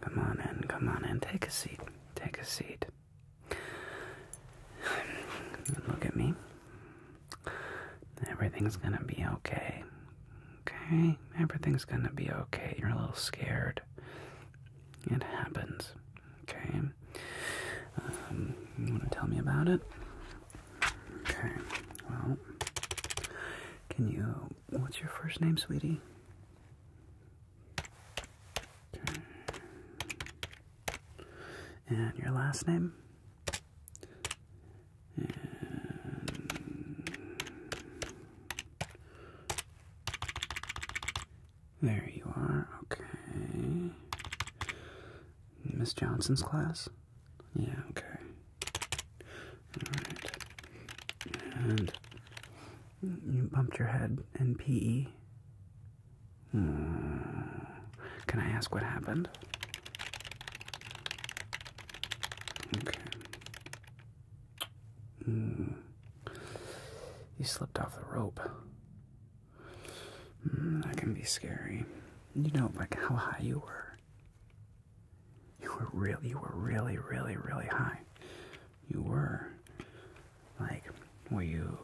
Come on in, come on in, take a seat, take a seat. Look at me. Everything's gonna be okay. Okay? Everything's gonna be okay. You're a little scared. It happens. Okay? you um, want to tell me about it? Okay, well, can you. What's your first name, sweetie? Okay. And your last name? there you are. Okay. Miss Johnson's class? Yeah, okay. Alright. And you bumped your head in PE? Hmm. Can I ask what happened? Okay. Mm. You slipped off the rope. Hmm, that can be scary. You know, like how high you were. You were really, you were really, really, really high. You were. Like, were you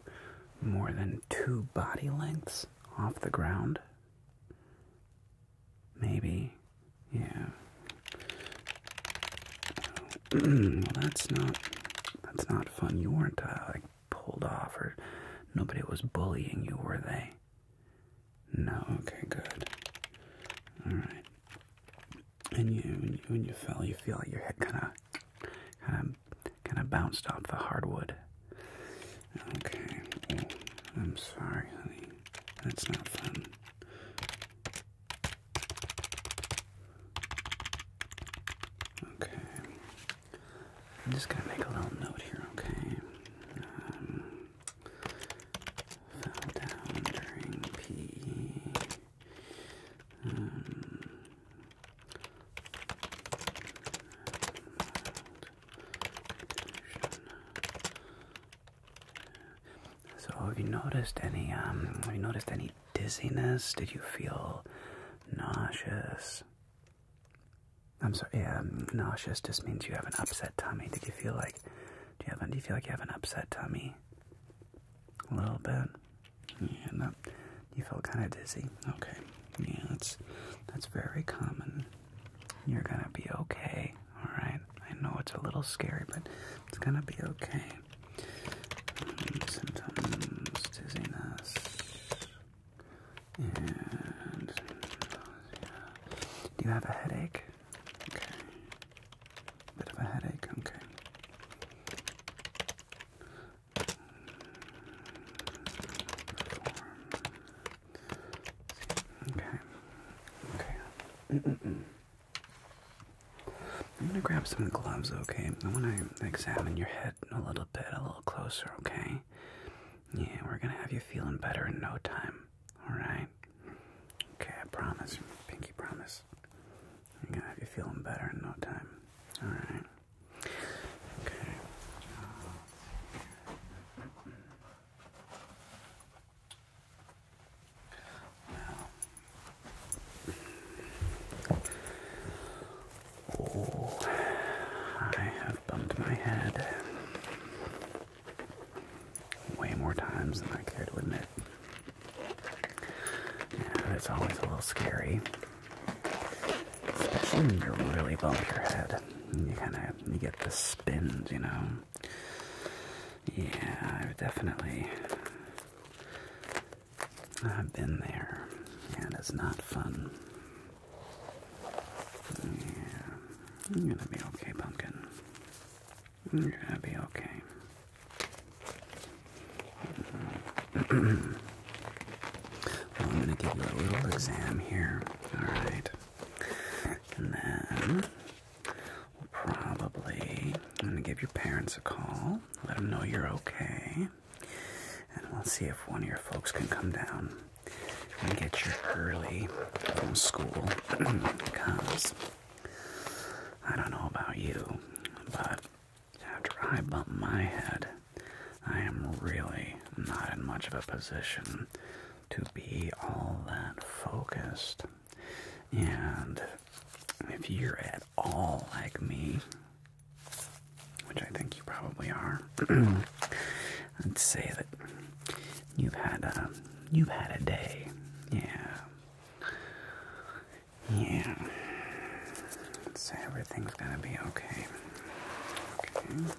more than two body lengths off the ground? Maybe. Yeah. well, that's not. That's not fun. You weren't uh, pulled off or nobody was bullying you, were they? No, okay, good. Alright. And you when, you when you fell you feel like your head kinda kinda kinda bounced off the hardwood. Okay. Well, I'm sorry, honey. That's not fun. Okay. I'm just gonna make a little note here, okay? Um, fell down during PE. Um, so have you noticed any um have you noticed any dizziness? Did you feel nauseous? I'm sorry. Yeah, um, nauseous just means you have an upset tummy. Did you feel like? Do you have? Do you feel like you have an upset tummy? A little bit. Yeah. You feel kind of dizzy. Okay. Yeah. That's that's very common. You're gonna be okay. All right. I know it's a little scary, but it's gonna be okay. Um, symptoms: dizziness, and do you have a headache? Okay. Bit of a headache, okay. Okay. Okay. I'm gonna grab some gloves, okay? I am going to examine your head a little bit, a little closer, okay? Yeah, we're gonna have you feeling better in no time, alright? Okay, I promise. Pinky promise. i are gonna have you feeling better in no time, alright? Okay. Well, Oh, I have bumped my head way more times than I care to admit. it's always a little scary, especially when you really bump your head. You kind of you get the spins, you know. Yeah, I've definitely I've been there, and it's not fun. Yeah, I'm gonna be okay, pumpkin. You're gonna be okay. I'm gonna give you a little exam here, alright? And then we'll probably, gonna give your parents a call, let them know you're okay. And let's see if one of your folks can come down and get your early school because I don't know about you, but after I bump my head, I am really not in much of a position to be all that focused. And if you're at all like me, which I think you probably are, I'd say that you've had a you've had a day. Yeah, yeah. let everything's gonna be okay. Okay.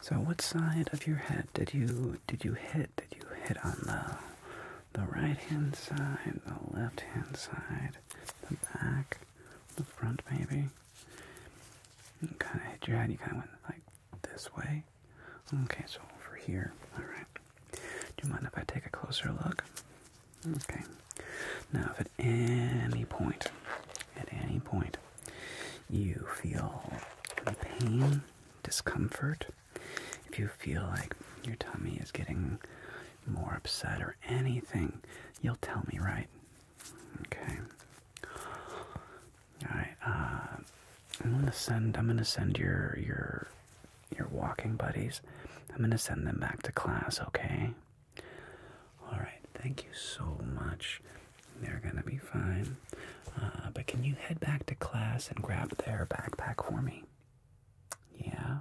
So, what side of your head did you did you hit? Did you hit on the the right hand side, the left hand side, the back, the front maybe. You kind of hit your head. You kind of went like this way. Okay, so over here. All right. Do you mind if I take a closer look? Okay. Now, if at any point, at any point, you feel pain, discomfort, if you feel like your tummy is getting more upset or anything, you'll tell me, right? Okay. Alright, uh, I'm gonna send I'm gonna send your your your walking buddies. I'm gonna send them back to class, okay? Alright, thank you so much. They're gonna be fine. Uh, but can you head back to class and grab their backpack for me? Yeah.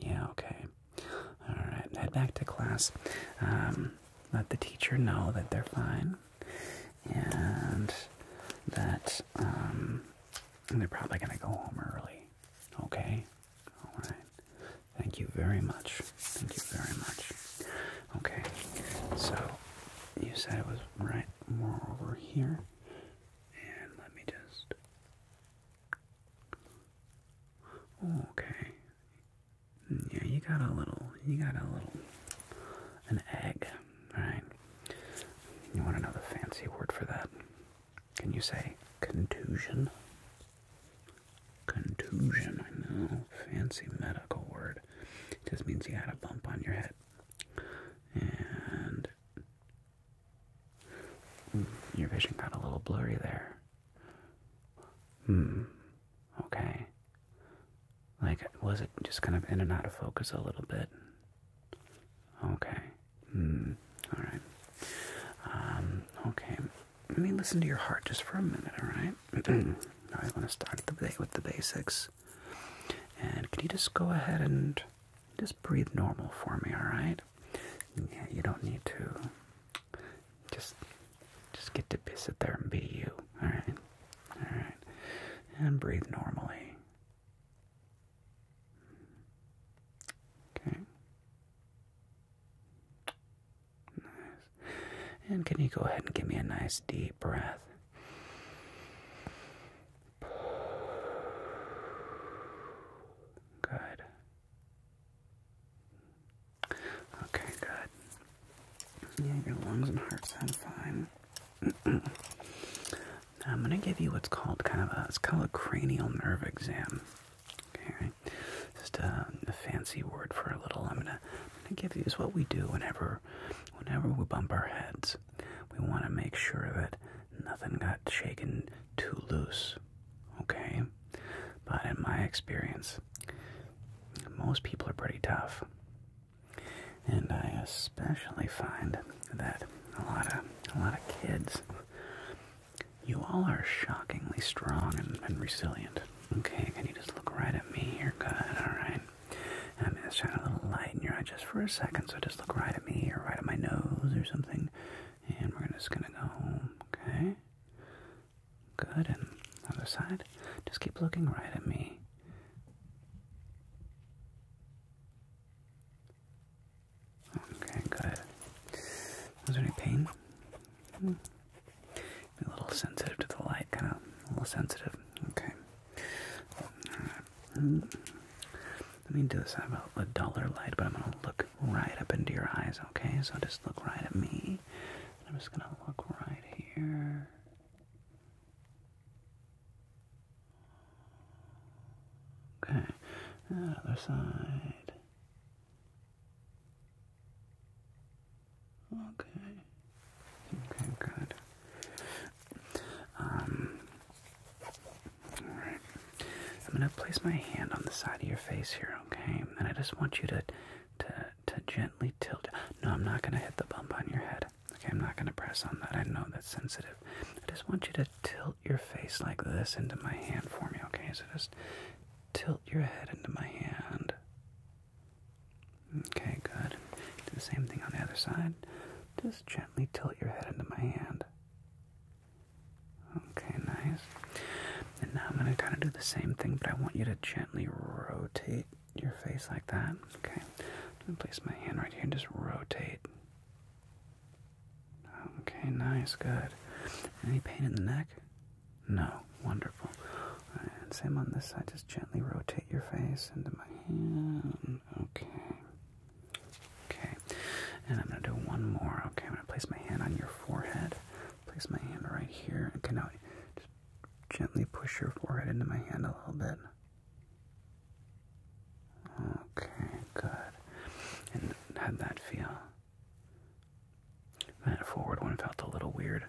Yeah, okay. All right, head back to class. Um, let the teacher know that they're fine and that um, they're probably going to go home early. Okay? All right. Thank you very much. Thank you very much. Okay, so you said it was right more over here. And let me just Okay. Yeah, you got a little, you got a little, an egg, right? You want to know the fancy word for that? Can you say contusion? Contusion, I know, fancy medical word. It just means you had a bump on your head. And Hmm, your vision got a little blurry there. Hmm. Okay. Like, was it just kind of in and out of focus a little bit? Okay. Hmm. All right. Um, okay. Let me listen to your heart just for a minute, all right? Now I want to start at the with the basics. And can you just go ahead and just breathe normal for me, alright? Yeah, you don't need to just just get to sit there and be you, alright? Alright. And breathe normally. Okay. Nice. And can you go ahead and give me a nice deep breath? Good. Okay, good. Yeah, your lungs and heart sound fine. I'm going to give you what's called kind of a, it's called a cranial nerve exam. Okay, just um, a, fancy word for a little. I'm going to give you is what we do whenever, whenever we bump our heads. We want to make sure that nothing got shaken too loose, okay? But in my experience, most people are pretty tough. And I especially find that a lot of a lot of kids you all are shockingly strong and, resilient. Okay, can you just look right at me here? Good, alright. I'm gonna shine a little light in your eye just for a second, so just look right at me or right at my nose or something and we're just gonna go home, okay? Good, and other side. Just keep looking right at me. Okay, good. Was there any pain? Mm. A little sensitive to the light, kind of a little sensitive. Okay. All right. Mm. Let me do this. I have a, a duller light, but I'm gonna look look right up into your eyes, okay? So just look right at me. I'm just gonna look right here. Okay, other side. Okay. Okay, good. Um, Alright. I'm gonna place my hand on the side of your face here, okay? And I just want you to to to gently tilt no, I'm not gonna hit the bump on your head. Okay, I'm not gonna press on that. I know that's sensitive. I just want you to tilt your face like this into my hand for me, okay? So just tilt your head into my hand. Okay, good. Do the same thing on the other side. Just gently tilt your head into my hand. Okay, nice. And now I'm going to kind of do the same thing, but I want you to gently rotate your face like that. Okay. I'm going to place my hand right here and just rotate. Okay, nice, good. Any pain in the neck? No, wonderful. And same on this side, just gently rotate your face into my hand. Okay. Okay, and I'm going to do one more. Okay, I'm going to place my hand on your forehead. Place my hand right here. Okay, now just gently push your forehead into my hand a little bit. Okay, good. And how'd that feel? That forward one felt a little weird.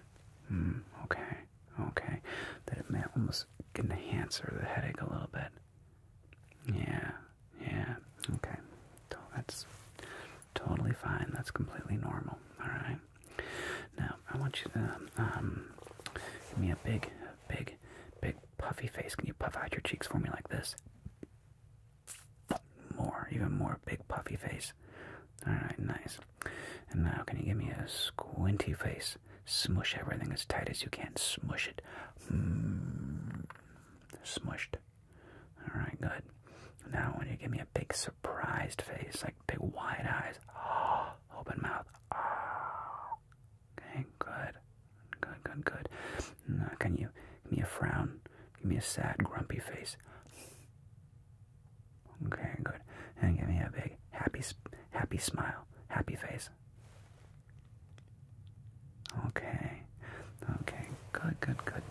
Hmm, okay, okay. That it may almost enhance or the headache a little bit. Yeah, yeah, okay. That's totally fine. That's completely normal. Alright. Now, I want you to um, give me a big, big, big puffy face. Can you puff out your cheeks for me like this? More, even more big puffy face. Alright, nice. And now, can you give me a squinty face? Smush everything as tight as you can. Smush it. Mm. Smushed. Alright, good. Now when you give me a big surprised face, like big wide eyes, open mouth. Okay, good. Good, good, good. Now can you give me a frown? Give me a sad, grumpy face. Okay, good. And give me a big happy, happy smile, happy face. Okay. Okay. Good, good, good.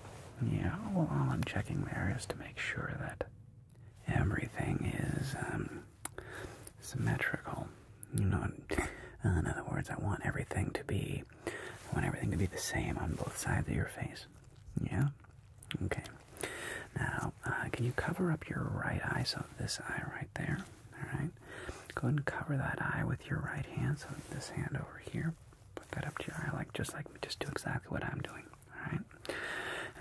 Yeah, well, all I'm checking there is to make sure that everything is um, symmetrical. You know, in other words, I want everything to be, I want everything to be the same on both sides of your face. Yeah? Okay. Now, uh, can you cover up your right eye, so this eye right there? All right. Go ahead and cover that eye with your right hand. So this hand over here, put that up to your eye, like just like just do exactly what I'm doing. All right.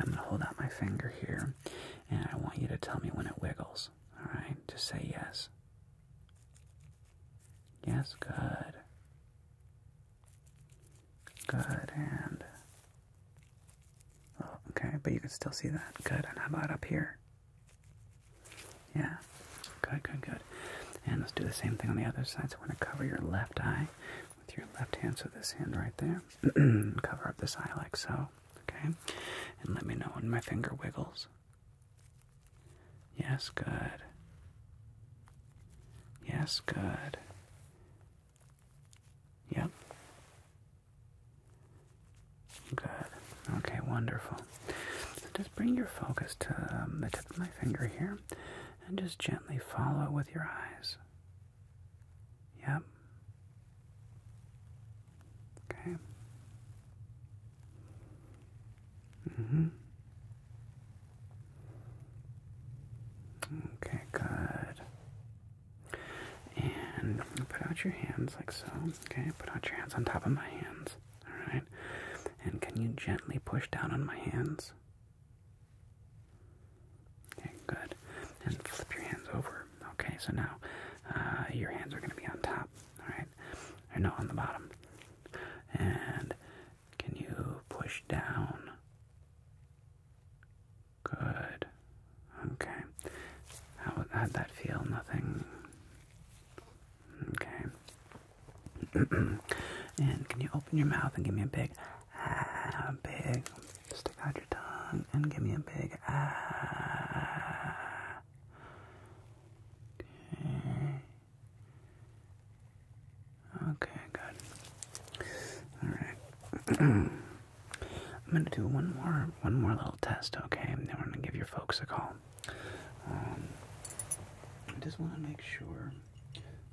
I'm gonna hold out my finger here, and I want you to tell me when it wiggles. All right. Just say yes. Yes. Good. Good and. Oh, okay, but you can still see that. Good. And how about up here? Yeah. Good, good, good. And let's do the same thing on the other side. So I want to cover your left eye with your left hand. So this hand right there. cover up this eye like so. Okay. And let me know when my finger wiggles. Yes, good. Yes, good. Yep. Good. Okay, wonderful. So just bring your focus to um, the tip of my finger here and just gently follow it with your eyes. Yep. Okay. hmm Okay, good. And put out your hands like so. Okay, put out your hands on top of my hands. Alright? And can you gently push down on my hands? Okay, good. And flip your hands over. Okay, so now uh, your hands are going to be on top. Alright? they're not on the bottom. And can you push down? Good. Okay. How, how'd that feel? Nothing. Okay. and can you open your mouth and give me a big ah, big stick out your tongue and give me a big Okay. Ah. Okay, good. All right. I'm gonna do one more, one more little test. Okay, And then we're gonna give your folks a call. Um, I just want to make sure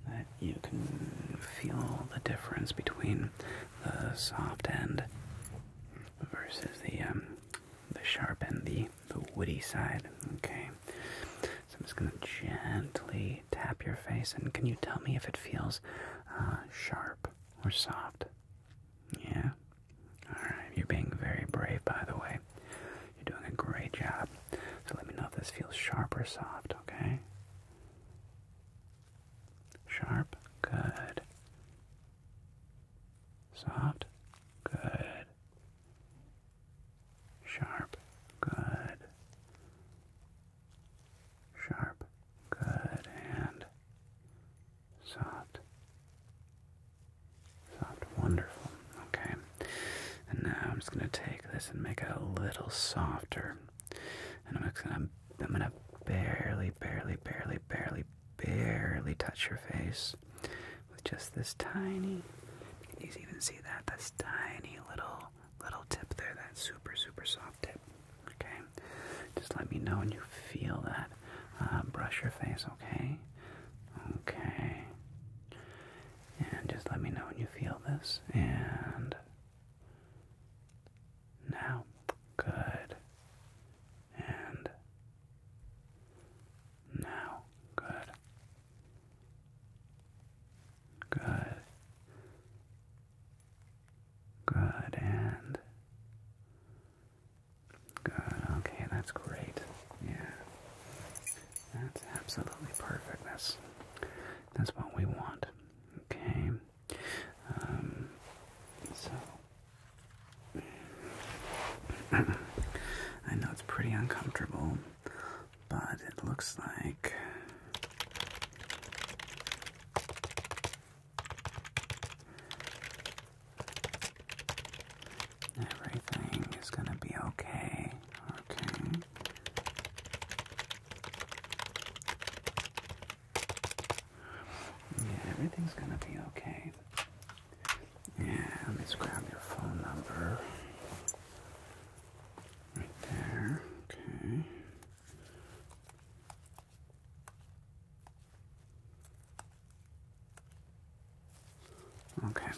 that you can feel the difference between the soft end versus the um, the sharp end, the the woody side. Okay, so I'm just gonna gently tap your face, and can you tell me if it feels uh, sharp or soft? Yeah? Alright, you're being very brave, by the way. You're doing a great job. So let me know if this feels sharp or soft, okay? Sharp? Good. Soft? Good. Sharp? Good. Sharp? Good. And Soft. Soft. Wonderful. Okay. And now I'm just going to take this and make it a little softer. And I'm just going to, I'm going to barely, barely, barely, barely, barely touch your face with just this tiny, you can even see that, this tiny little, little tip there, that super, super soft tip. Okay. Just let me know when you feel that. Uh, brush your face, okay? Okay. And just let me know when you feel this. And now. Good. And now. Good. Good. Good. And Good, okay, that's great. Yeah. That's absolutely perfect. That's that's what we want. Okay. Um, so I know it's pretty uncomfortable, but it looks like Everything is gonna be okay, okay. Yeah, everything's gonna be okay. Yeah, let me grab your phone number. Right there, okay. Okay.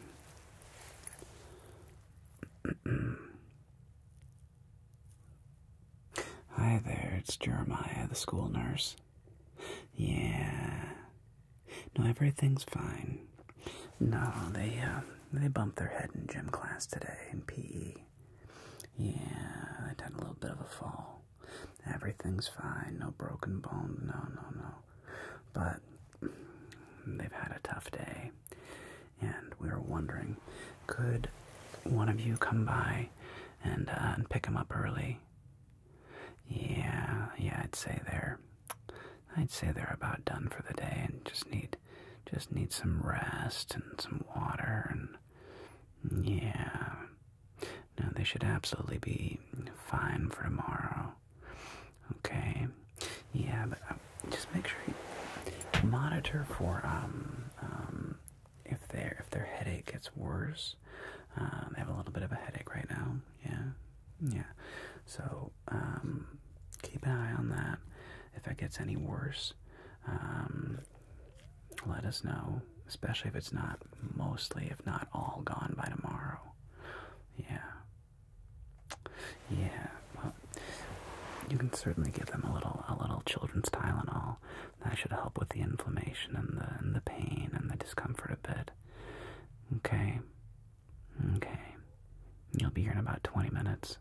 Hi there, it's Jeremiah, the school nurse. Yeah. No, everything's fine. No, they uh, they bumped their head in gym class today in PE. Yeah, I had a little bit of a fall. Everything's fine, no broken bones, no, no, no. But they've had a tough day, and we are wondering could one of you come by and, uh, and pick them up early? Yeah, yeah, I'd say they're. I'd say they're about done for the day and just need just need some rest and some water and yeah, no, they should absolutely be fine for tomorrow. Okay. Yeah, but uh, just make sure you monitor for um, um if their if their headache gets worse. Uh, they have a little bit of a headache right now. Yeah, yeah. So um, keep an eye on that. If it gets any worse, um, let us know especially if it's not mostly, if not all, gone by tomorrow. Yeah, yeah. Well, you can certainly give them a little, a little children's Tylenol. That should help with the inflammation and the and the pain and the discomfort a bit. Okay, okay. You'll be here in about 20 minutes.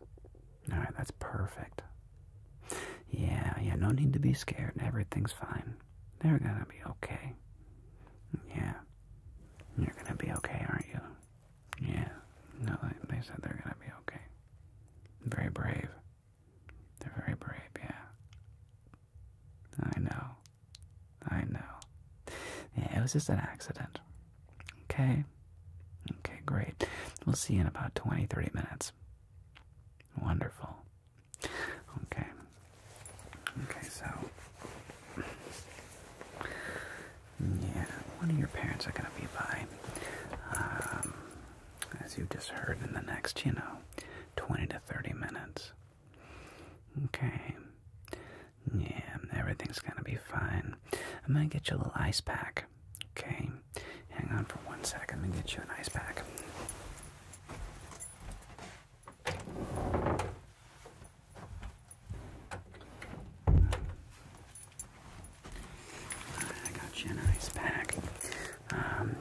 All right, that's perfect. Yeah, yeah. No need to be scared. Everything's fine. They're gonna be okay. Yeah. You're gonna be okay, aren't you? Yeah. No, they, said they're gonna be okay. Very brave. They're very brave, yeah. I know. I know. Yeah, it was just an accident. Okay. Okay, great. We'll see in about 20, 30 minutes. Wonderful. Okay. Okay, so yeah, one of your parents are gonna be by, um, as you just heard in the next, you know, twenty to thirty minutes. Okay. Yeah, everything's gonna be fine. I'm gonna get you a little ice pack. Okay. Hang on for one second. i second. I'm gonna get you an ice pack. I got you a pack. Um,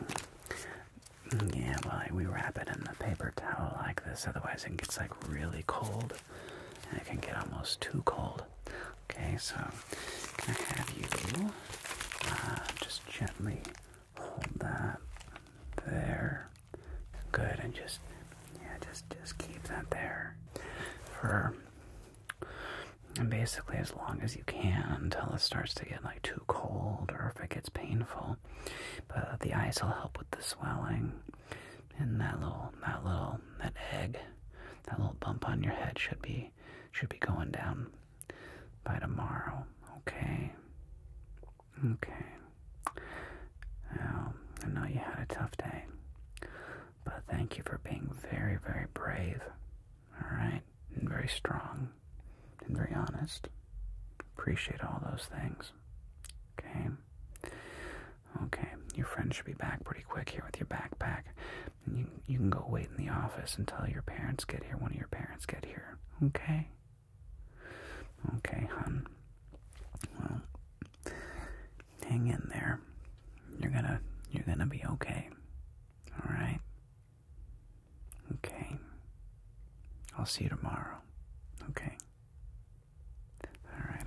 yeah, well, we wrap it in the paper towel like this, otherwise it gets like really cold, and it can get almost too cold. Okay, so can I have you uh, just gently hold that there. Good, and just yeah, just just keep that there for basically as long as you can until it starts to get like too cold or if it gets painful. But the ice will help with the swelling, and that little that little that egg, that little bump on your head should be should be going down by tomorrow. Okay. Okay. Now, I know you had a tough day, but thank you for being very, very brave, alright? And very strong, and very honest. Appreciate all those things. Okay? Okay, your friend should be back pretty quick here with your backpack. And you, you can go wait in the office until your parents get here, one of your parents get here. Okay? Okay, hon. Well, hang in there. You're gonna you're gonna be okay. Alright? Okay. I'll see you tomorrow. Okay. Alright,